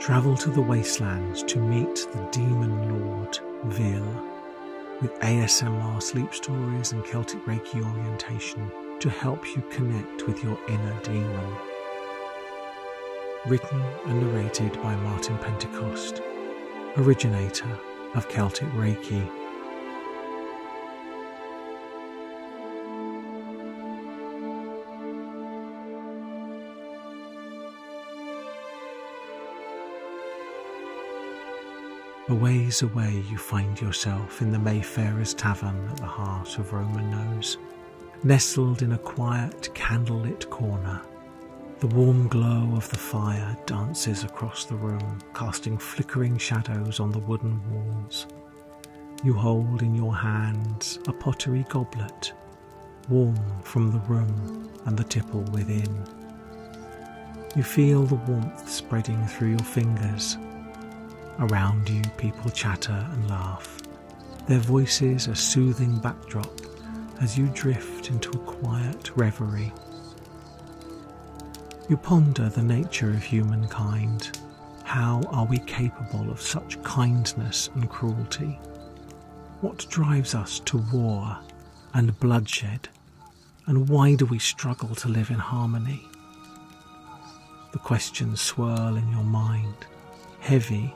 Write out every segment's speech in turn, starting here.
Travel to the wastelands to meet the demon lord Vil with ASMR sleep stories and Celtic Reiki orientation to help you connect with your inner demon. Written and narrated by Martin Pentecost, originator of Celtic Reiki. A away, you find yourself in the Mayfairer's Tavern at the heart of Roman Nose, nestled in a quiet, candlelit corner. The warm glow of the fire dances across the room, casting flickering shadows on the wooden walls. You hold in your hands a pottery goblet, warm from the room and the tipple within. You feel the warmth spreading through your fingers. Around you, people chatter and laugh, their voices a soothing backdrop as you drift into a quiet reverie you ponder the nature of humankind. How are we capable of such kindness and cruelty? What drives us to war and bloodshed? And why do we struggle to live in harmony? The questions swirl in your mind, heavy,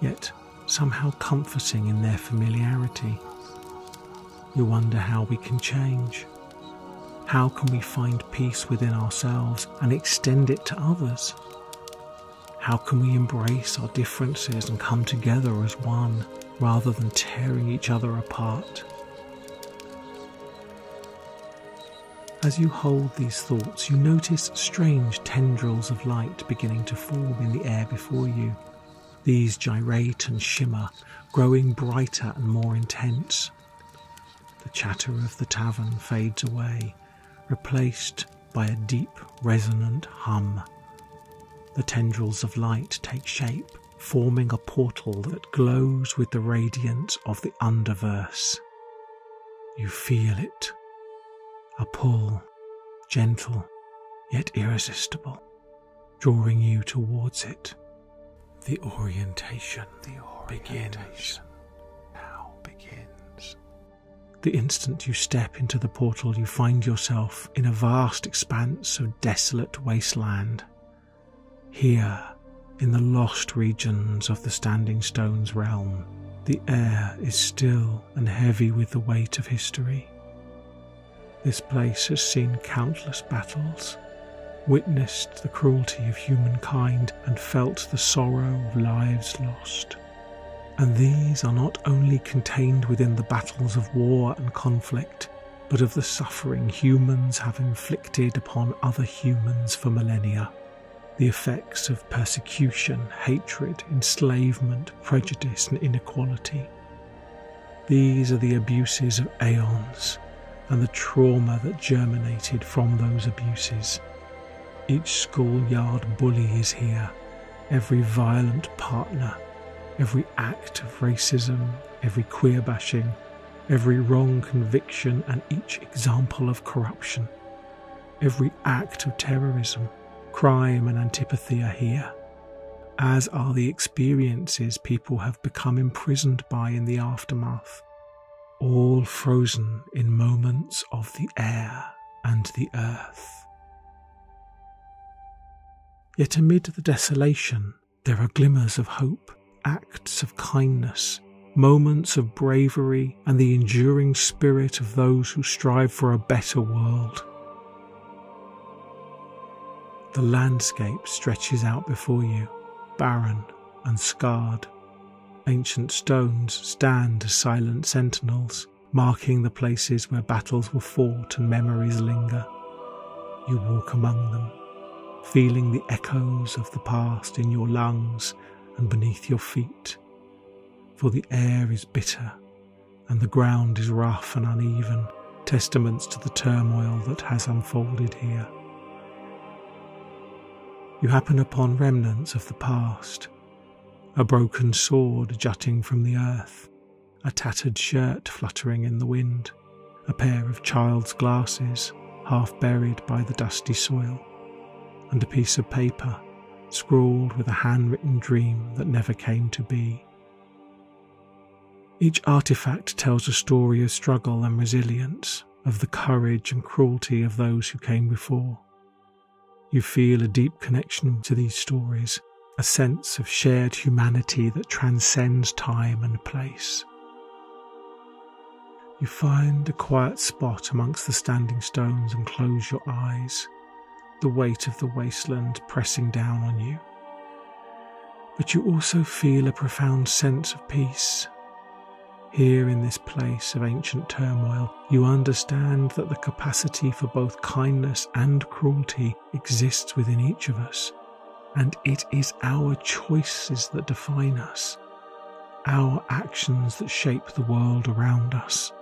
yet somehow comforting in their familiarity we wonder how we can change. How can we find peace within ourselves and extend it to others? How can we embrace our differences and come together as one rather than tearing each other apart? As you hold these thoughts, you notice strange tendrils of light beginning to form in the air before you these gyrate and shimmer, growing brighter and more intense. The chatter of the tavern fades away, replaced by a deep, resonant hum. The tendrils of light take shape, forming a portal that glows with the radiance of the underverse. You feel it a pull, gentle yet irresistible drawing you towards it. The orientation, the orientation begins. now begins. The instant you step into the portal, you find yourself in a vast expanse of desolate wasteland. Here, in the lost regions of the Standing Stones realm, the air is still and heavy with the weight of history. This place has seen countless battles, witnessed the cruelty of humankind, and felt the sorrow of lives lost. And these are not only contained within the battles of war and conflict, but of the suffering humans have inflicted upon other humans for millennia. The effects of persecution, hatred, enslavement, prejudice, and inequality these are the abuses of aeons and the trauma that germinated from those abuses. Each schoolyard bully is here, every violent partner, every act of racism, every queer bashing, every wrong conviction, and each example of corruption. Every act of terrorism, crime, and antipathy are here as are the experiences people have become imprisoned by in the aftermath, all frozen in moments of the air and the earth. Yet amid the desolation, there are glimmers of hope, acts of kindness, moments of bravery, and the enduring spirit of those who strive for a better world. The landscape stretches out before you, barren and scarred. Ancient stones stand as silent sentinels, marking the places where battles were fought and memories linger. You walk among them, feeling the echoes of the past in your lungs and beneath your feet, for the air is bitter and the ground is rough and uneven, testaments to the turmoil that has unfolded here. You happen upon remnants of the past a broken sword jutting from the earth, a tattered shirt fluttering in the wind, a pair of child's glasses half buried by the dusty soil, and a piece of paper scrawled with a handwritten dream that never came to be. Each artifact tells a story of struggle and resilience, of the courage and cruelty of those who came before. You feel a deep connection to these stories, a sense of shared humanity that transcends time and place. You find a quiet spot amongst the standing stones and close your eyes, the weight of the wasteland pressing down on you. But you also feel a profound sense of peace. Here in this place of ancient turmoil, you understand that the capacity for both kindness and cruelty exists within each of us, and it is our choices that define us, our actions that shape the world around us.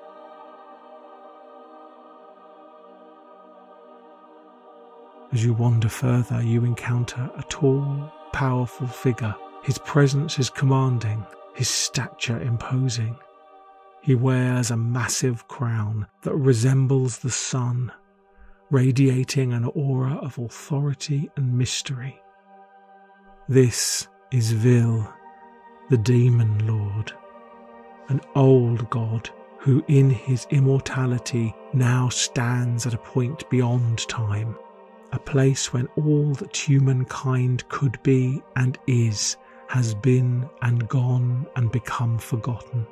As you wander further, you encounter a tall, powerful figure. His presence is commanding, his stature imposing. He wears a massive crown that resembles the sun, radiating an aura of authority and mystery. This is Vil, the Demon Lord, an old god who in his immortality now stands at a point beyond time, a place when all that humankind could be and is has been and gone and become forgotten.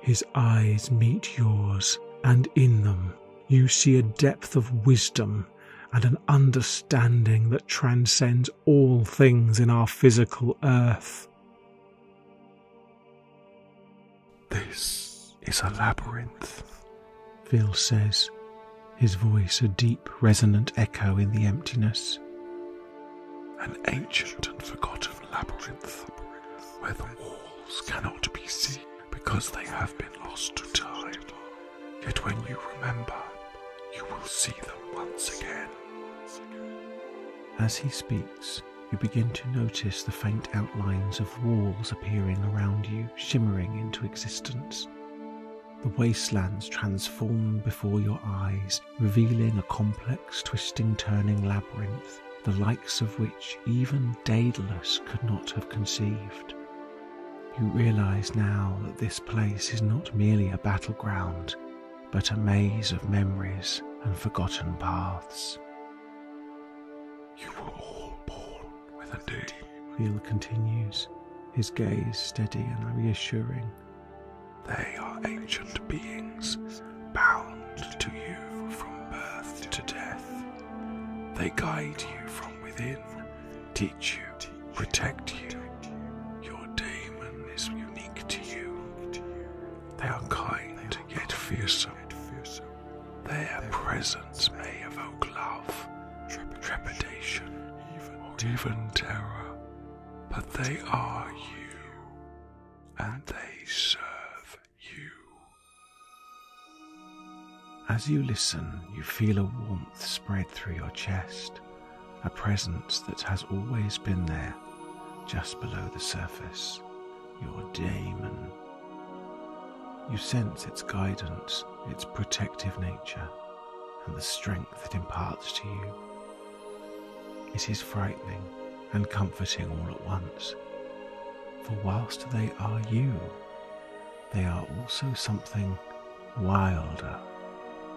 His eyes meet yours, and in them you see a depth of wisdom and an understanding that transcends all things in our physical earth. This is a labyrinth, Phil says, his voice a deep, resonant echo in the emptiness. An ancient and forgotten labyrinth where the walls cannot be seen because they have been lost to time. Yet when you remember, you will see them once again. As he speaks, you begin to notice the faint outlines of walls appearing around you, shimmering into existence. The wastelands transform before your eyes, revealing a complex, twisting, turning labyrinth, the likes of which even Daedalus could not have conceived. You realize now that this place is not merely a battleground, but a maze of memories and forgotten paths. You were all born with a name. Wheel continues, his gaze steady and reassuring. They are ancient beings, bound to you from birth to death. They guide you from within, teach you protect you. Your daemon is unique to you. They are kind yet fearsome. Their presence may evoke love, trepidation, even terror, but they are you, and they serve you. As you listen, you feel a warmth spread through your chest a presence that has always been there, just below the surface, your daemon. You sense its guidance, its protective nature, and the strength it imparts to you. It is frightening and comforting all at once, for whilst they are you, they are also something wilder,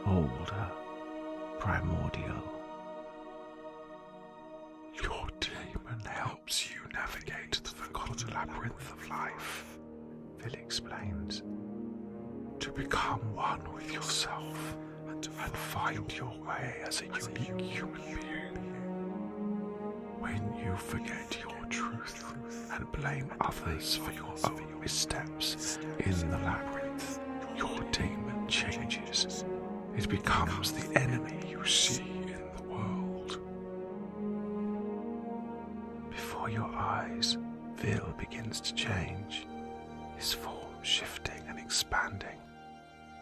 older, primordial. Your daemon helps you navigate the forgotten labyrinth of life, Phil explains. To become one with yourself and, find your way as a unique human being. When you forget your truth and blame others for your own your steps in the labyrinth, your demon changes. It becomes the enemy you see in the world. Before your eyes, Vil begins to change, his form shifting and expanding.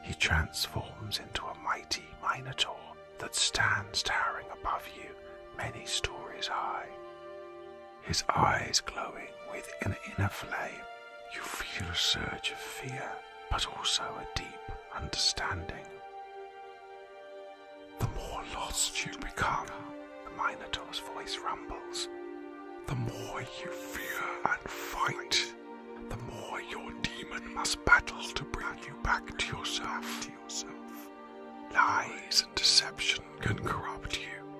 He transforms into a mighty Minotaur that stands towering above you many stories high his eyes glowing with an inner flame. You feel a surge of fear, but also a deep understanding. The more lost you become, the Minotaur's voice rumbles, the more you fear and fight, the more your demon must battle to bring you back to yourself. Lies deception can corrupt you.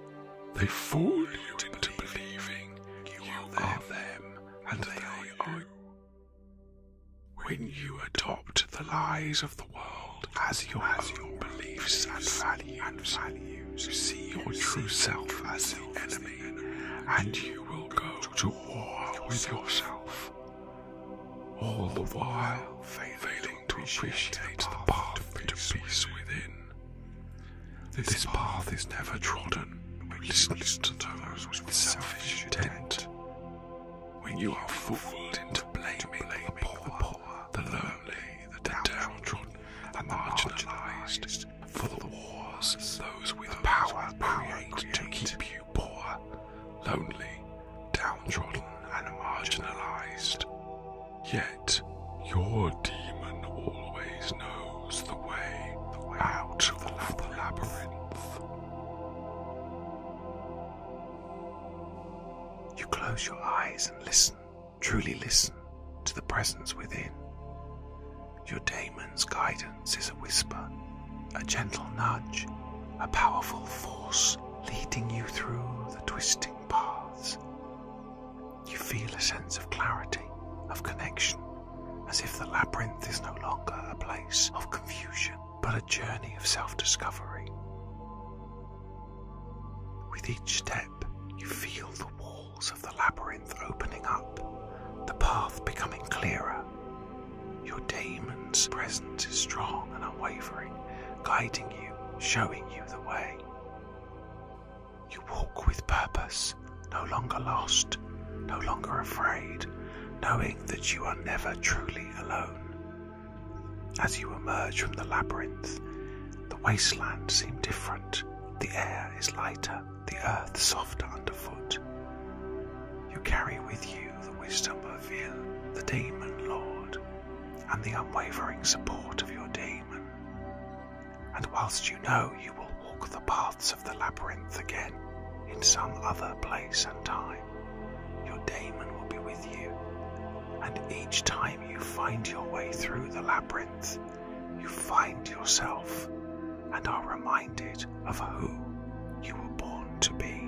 They fool you into believing you, you are them and they are you. When you adopt the lies of the world as your, as your beliefs and values, and values, you see your true self as the enemy, and you will go to war with yourself. All the while, failing, failing to appreciate the path to peace, within. This, path, is never trodden. We listen to those with selfish intent. When you are fooled into blaming, the, poor, the lonely, the downtrodden, and marginalized for the wars those with power, power create to keep you poor, lonely, downtrodden, and marginalized. Yet, your demon always knows the way, out of the labyrinth. You close your eyes and listen, truly listen, to the presence within. Your demon's guidance is a whisper, a gentle nudge, a powerful force leading you through the twisting paths you feel a sense of clarity, of connection, as if the labyrinth is no longer a place of confusion, but a journey of self discovery. With each step, you feel the walls of the labyrinth opening up, the path becoming clearer. Your damon's presence is strong and unwavering, guiding you, showing you the way. You walk with purpose, no longer lost, no longer afraid, knowing that you are never truly alone. As you emerge from the labyrinth, the wasteland seems different. The air is lighter, the earth softer underfoot. You carry with you the wisdom of Il, the demon lord, and the unwavering support of your demon. And whilst you know you will walk the paths of the labyrinth again in some other place and time, your daemon will be with you, and each time you find your way through the labyrinth, you find yourself and are reminded of who you were born to be.